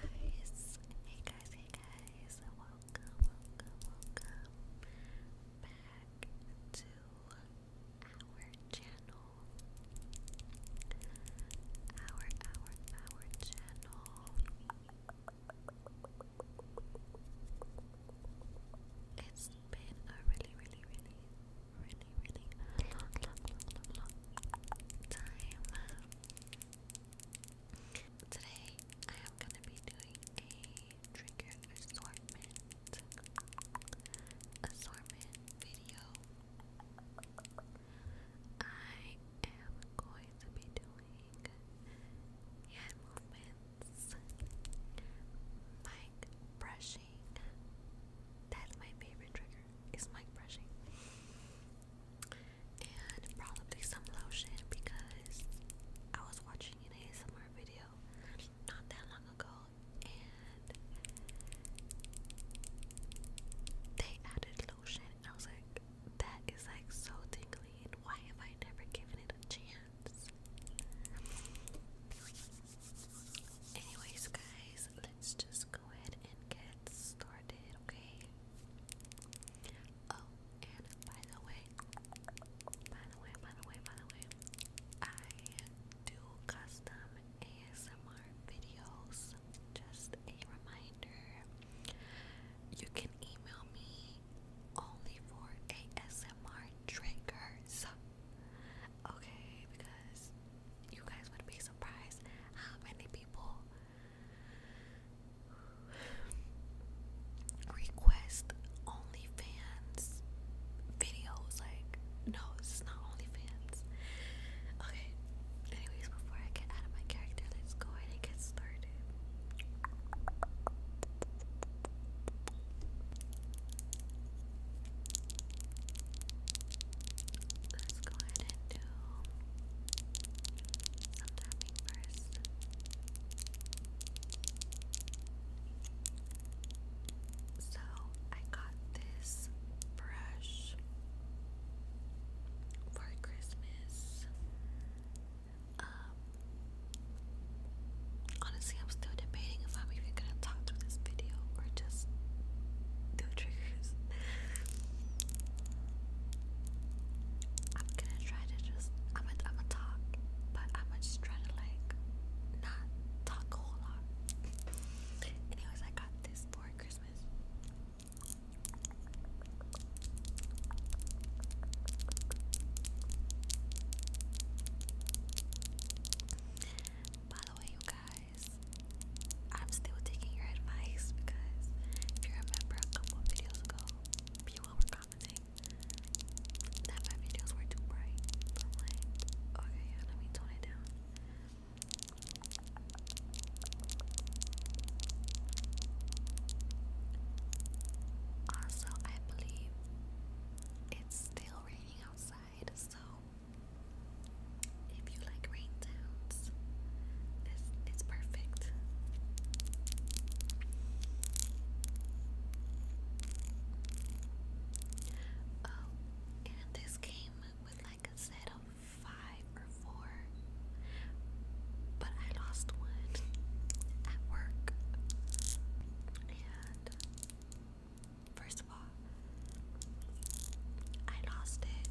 guys, hey guys, hey guys, welcome, welcome, welcome back to our channel. Our, our, our channel. It's been a really, really, really really, really long, long, long, long, time. Today, I am going to be doing a trigger assortment, assortment video. I am going to be doing hand movements, mic brushing. That's my favorite trigger is my brushing. And probably some lotion because I was watching an ASMR video not that long ago and they added lotion and I was like, that is like so tingly and why have I never given it a chance? Anyways guys, let's just go ahead and get started, okay? Oh, and by the way, by the way, by the way, by the way, I do custom ASMR videos. Just a reminder. You can email me only for ASMR triggers. Okay, because you guys would be surprised how many people request OnlyFans videos. Like, no, this is not OnlyFans. Okay, anyways, before I get out of my character, let's go and get started. Let's go ahead and do some first. So I got this brush for Christmas. Um, honestly I'm still debating if I'm even gonna talk through this video or just do triggers. I'm gonna try to just I'm gonna I'm gonna talk, but I'm gonna just try to like not talk a whole lot. Anyways, I got this for Christmas. By the way, you guys guys. I'm still taking your advice because if you remember a couple videos ago, people were commenting that my videos were too bright. okay, yeah, let me tone it down. Also, I believe it's still raining outside, so if you like rain this is perfect. Oh, and this came with like a set of five or four, but I lost one at work. And first of all, I lost it.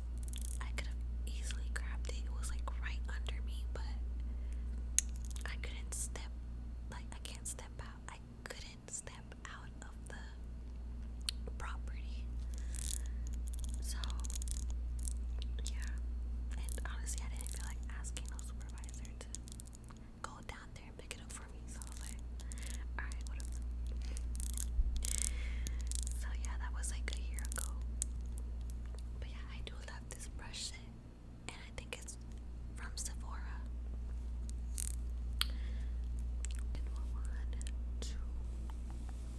I could have easily grabbed it. It was like right under me, but I couldn't step like I can't step out. I couldn't step out of the property. So yeah. And honestly I didn't feel like asking no supervisor to go down there and pick it up for me. So I was like, alright, what i So yeah, that was like a year ago. But yeah, I do love this brush And I think it's from Sephora. one, two,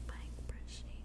mic brushing.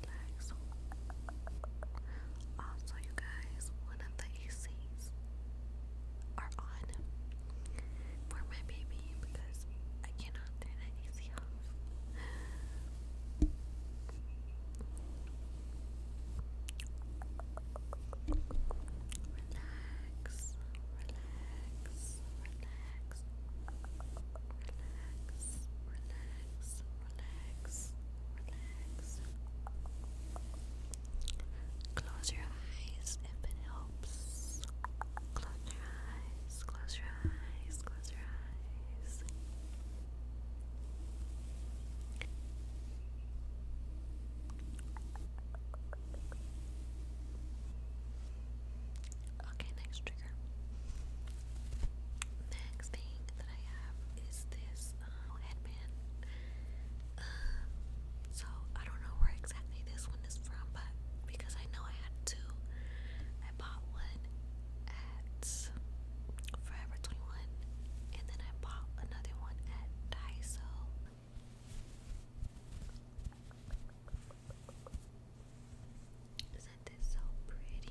relax. Also, you guys, one of the ACs are on for my baby because I cannot turn that AC off. Relax, relax, relax, relax, relax, relax, relax. Close your eyes if it helps. Close your eyes, close your eyes, close your eyes. Okay, next trigger. Next thing that I have is this uh, headband. Um, so I don't know where exactly this one is from, but because I know I had two, I bought one at Forever 21, and then I bought another one at Daiso. Isn't this so pretty?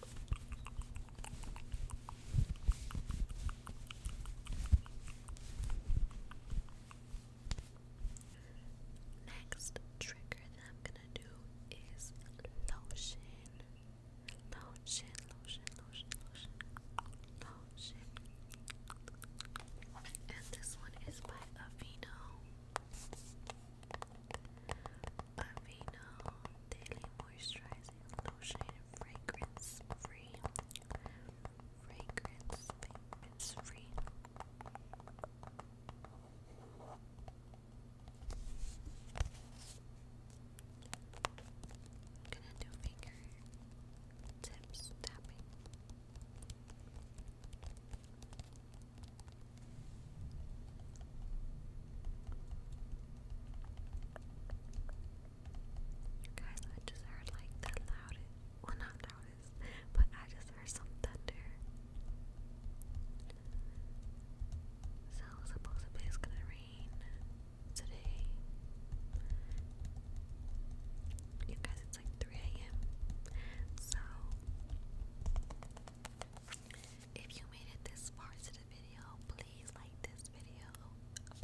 Next trigger that I'm gonna do is lotion. Lotion, lotion, lotion, lotion, lotion. And this one is by Avino. Avino Daily Moisturizer lotion, fragrance free, fragrance, fragrance free. gonna do finger tips tapping. Guys, I just heard like the loudest, well not loudest, but I just heard some thunder. So supposedly it's gonna rain today. You guys, it's like 3 a.m. So if you made it this far to the video, please please like this video,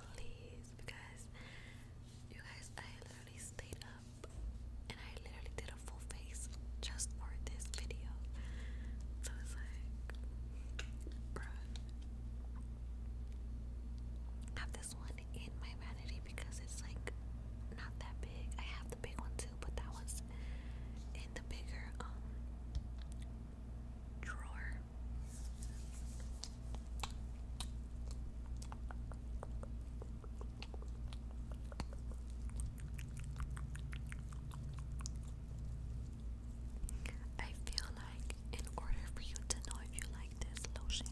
please, because you guys, I literally stayed up and I literally did a full face just for this video. So it's like, bruh. have this one in my vanity because it's like not that big. I have the big one too, but that one's in the bigger um, drawer I feel like in order for you to know if you like this lotion,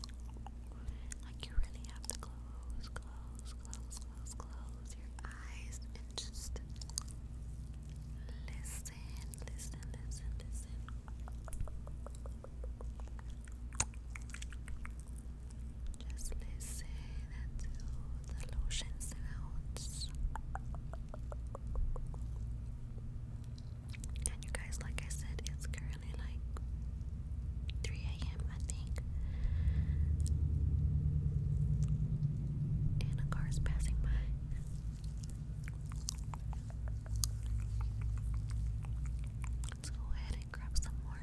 like you really have to close, close, close, close, close your eyes and just listen, listen, listen, listen. Just listen to the lotion sounds. And you guys, like I said, it's currently like 3 a.m. I think. And a car's passing by. Let's go ahead and grab some more.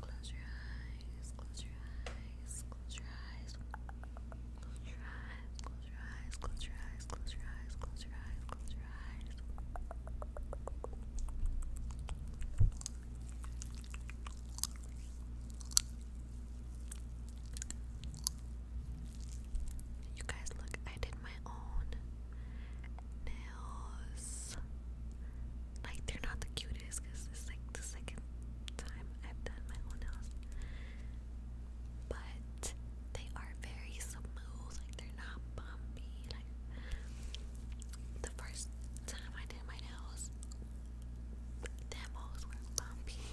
Close your eyes, close your eyes, close your eyes. Close your eyes, close your eyes, close your eyes, close your eyes, close your eyes, close your eyes. You guys, look, I did my own nails. Like, they're not the cutest because like the second time I've done my own nails. But they are very smooth, like, they're not bumpy. Like, the first time I did my nails, demos were bumpy.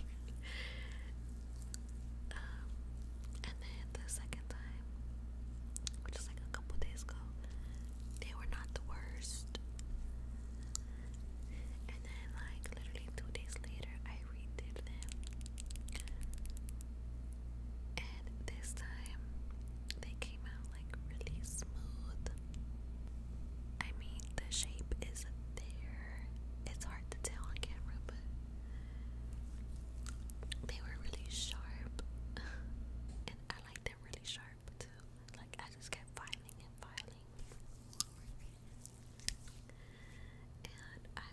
and then the second time, which was like a couple days ago, they were not the worst. And then, like, literally two days later, I redid them. And this time, they came out like really smooth. I mean, the shape is there. It's hard to tell on camera, but they were really sharp. and I like them really sharp too. Like, I just kept filing and filing. And I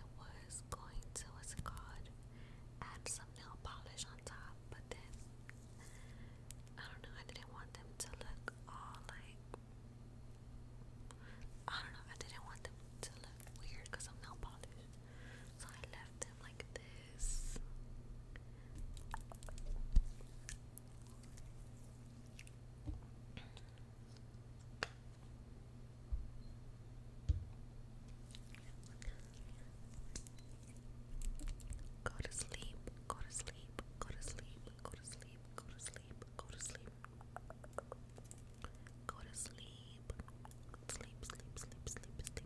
was going to, what's it called? Add some nail polish on top, but then I don't know, I didn't want them to look all like I don't know, I didn't want them to look weird because I'm nail polished. So I left them like this. go to sleep, go to sleep, sleep, go to sleep, go to sleep, go to sleep, go to sleep. Go to sleep. Sleep, sleep, sleep, sleep, sleep.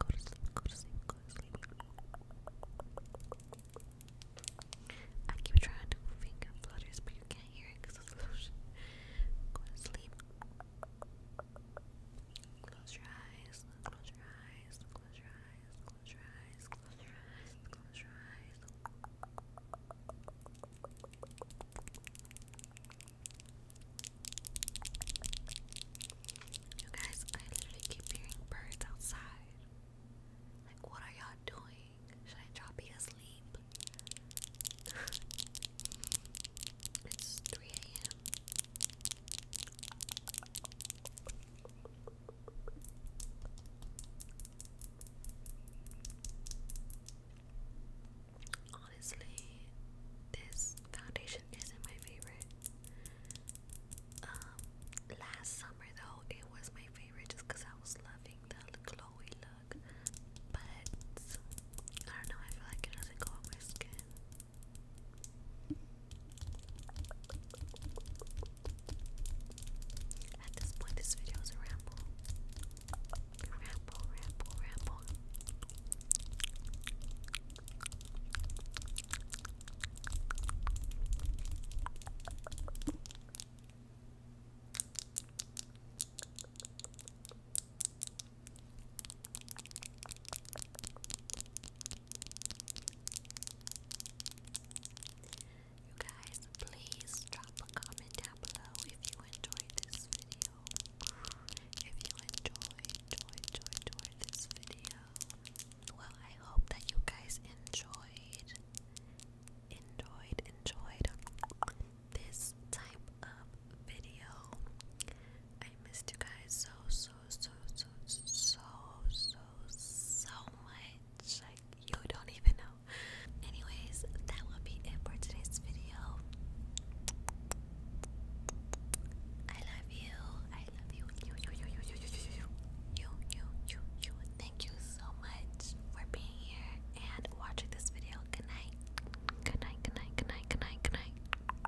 Go to sleep, go to sleep, go to sleep. I keep trying to finger flutters, but you can't hear it because it's lotion. Go to sleep. Close your eyes, close your eyes, you guys, I literally keep hearing birds outside. Like, what are y'all doing? Should I drop you asleep? it's 3 a.m. Honestly, this foundation isn't my favorite. Um, last summer though, it was my favorite just because I was loving the glowy look. But I don't know, I feel like it doesn't go on my skin. At this point, this video is a ramble. Ramble, ramble, ramble. You guys, please drop a comment down below if you enjoyed this video. If you enjoyed, enjoy, enjoy, enjoy this video. Well, I hope that you guys enjoyed, enjoyed, enjoyed this type of video. I missed you guys so, so, so, so, so, so so much. Like, you don't even know. Anyways, that will be it for today's video. I love you. I love you. You, you, you, you, you, you, you, you, you, you, you, Thank you so much for being here and watching this video. Good night, good night, good night, good night, good night.